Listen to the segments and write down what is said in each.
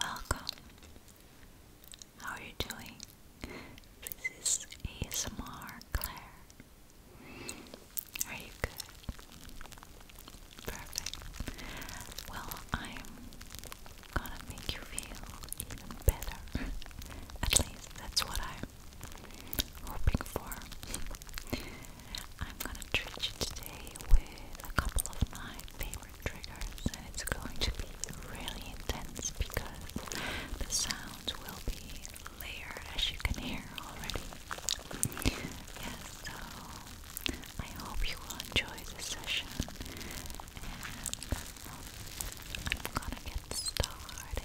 Welcome. How are you doing? This is ASMR Claire. Are you good? Perfect. Well, I'm gonna make you feel even better. At least that's what I'm hoping for. I'm gonna treat you today with a couple of my favorite triggers, and it's going to be really intense because the sounds will be layered as you can hear already. Yes, so I hope you will enjoy this session I'm gonna get started.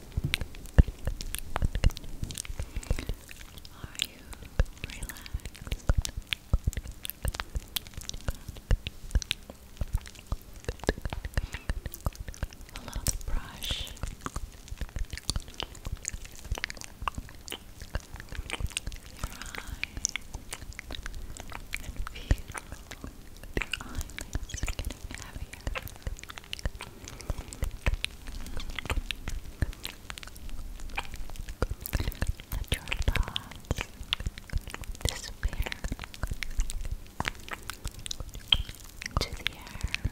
Are you relaxed? Allow brush your eye and feel your eyelids getting heavy let your thoughts disappear to the air.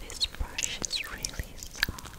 This brush is really soft.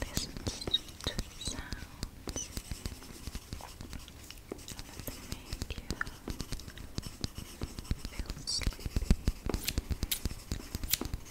Listen to sounds that make you feel sleepy and relaxed.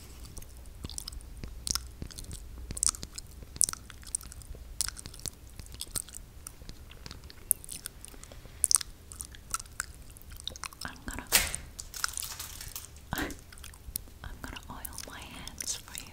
I'm gonna I'm gonna oil my hands for you.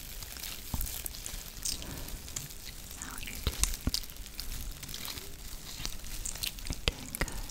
Now you're doing, you're doing good. Good. Good.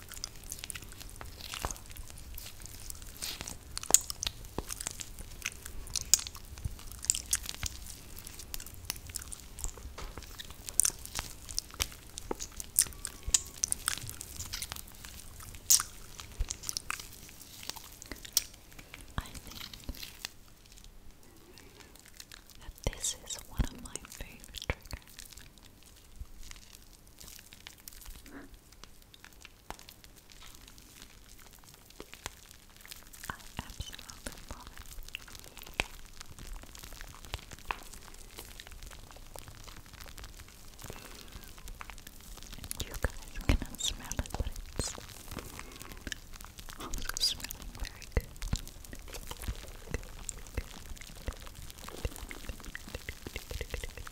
I think that this is one of my favorite triggers. I absolutely love it. You guys cannot smell it, but it's also smelling very good,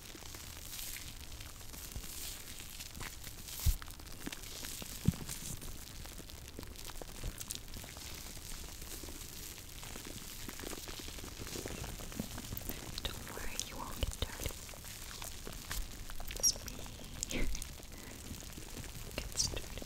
Don't worry, you won't get dirty. It's me. Gets dirty.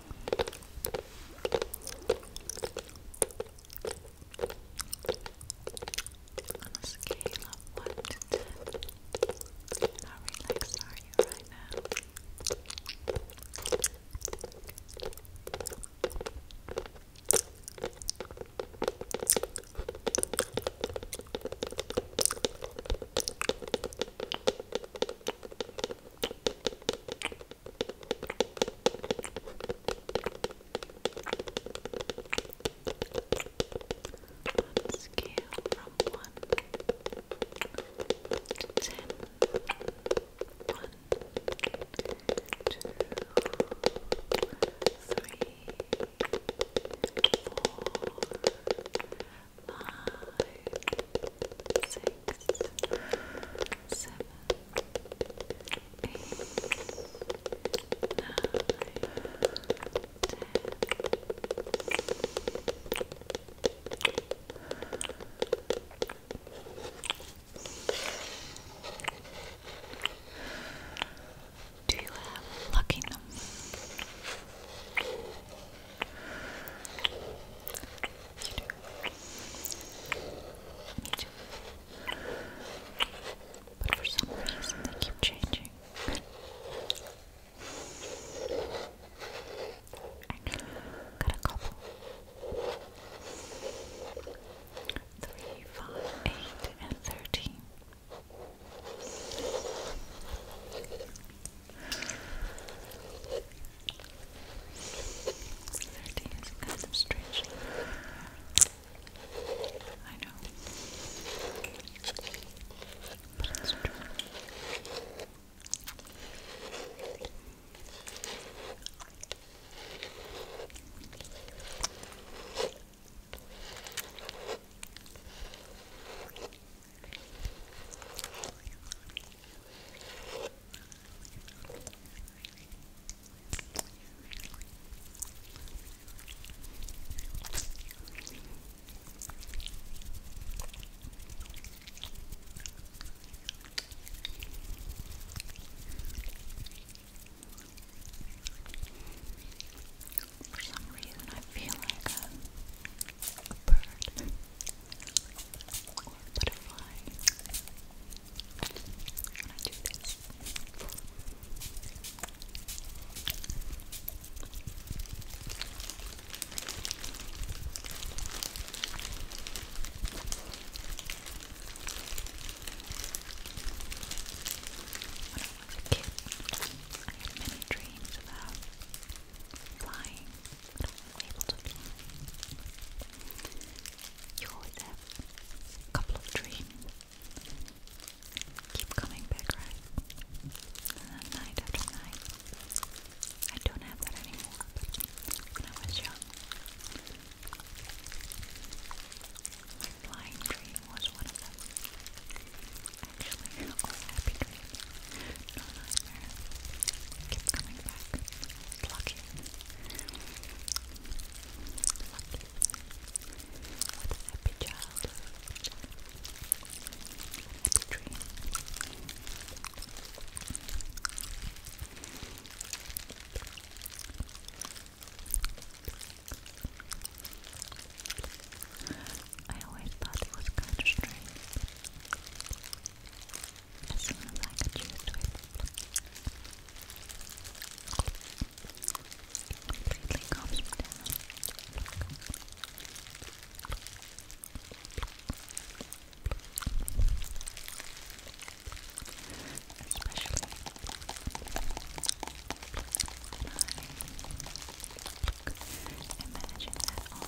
On a scale of 1 to how relaxed are you right now? On scale from one to ten. One, two, three, four, five, six, seven, eight, nine, ten. Do you have luck in you do. Me too. But for some reason, they keep changing. I got a couple. Three, five, eight, and thirteen. Thirty is kind of strange. I know. But it's true. For some reason, I feel like a, a bird butterfly. When when I was a kid, I had many dreams about flying but You always have a couple of dreams. Keep coming back, right? And uh, then night after night. I don't have that anymore, but when I was young, my flying dream was one of them. Actually, all happy dreams, no nightmare. Keep coming back. Lucky. Lucky. What a dream. I always thought it was strange as soon as I could use it completely calms me down especially imagine that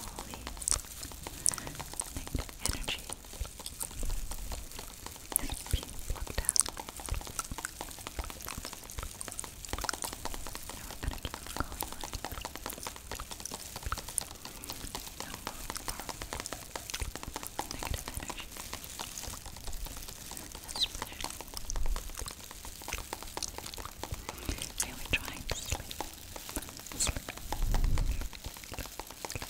all the negative energy it's being plucked out. Now we're gonna keep going like no negative energy. That's Really trying to sleep. Sleep. Sleep. Sleep.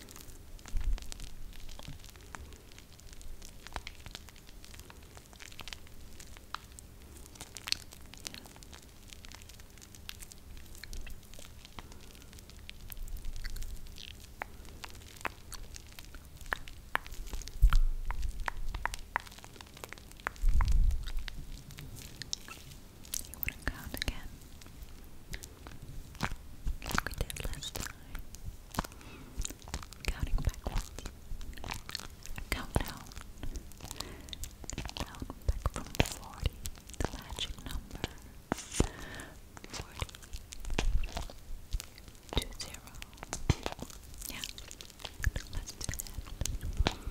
You wouldn't count again like we did last time. Counting backwards. Countdown. Count back from 40, the magic number. 40, two zero. Yeah, let's do that. 40,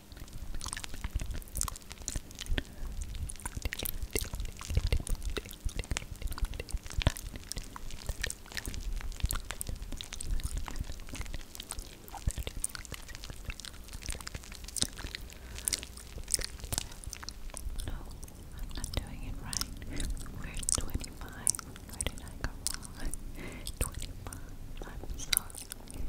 No, oh, I'm not doing it right. We're at 25. Where did I go wrong? 25. I'm sorry. 25.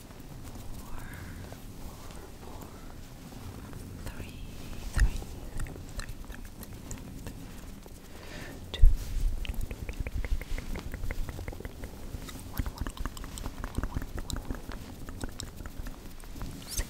four, four, four, three, three, three, three, three, three, two, one, one, one, one, one, one, one, six. Five,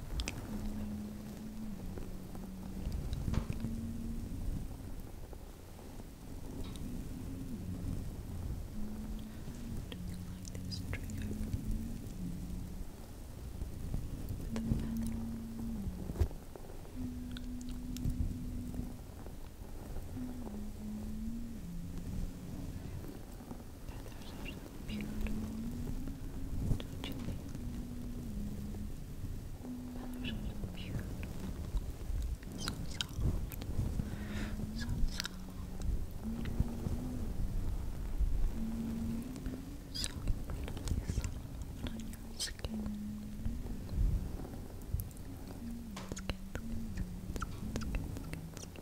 like this trigger with a feather. Feathers are so beautiful. Don't you think? Beautiful, beautiful. So soft, so soft, so pretty soft on your skin. Skin, skin, skin, skin, skin, skin, skin.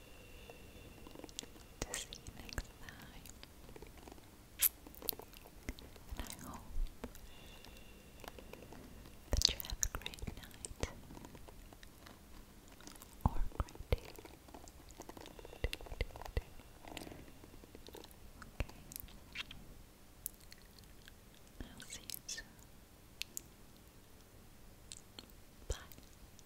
to see you And I hope that you have a great night or great day. Okay. I'll see you soon. Bye.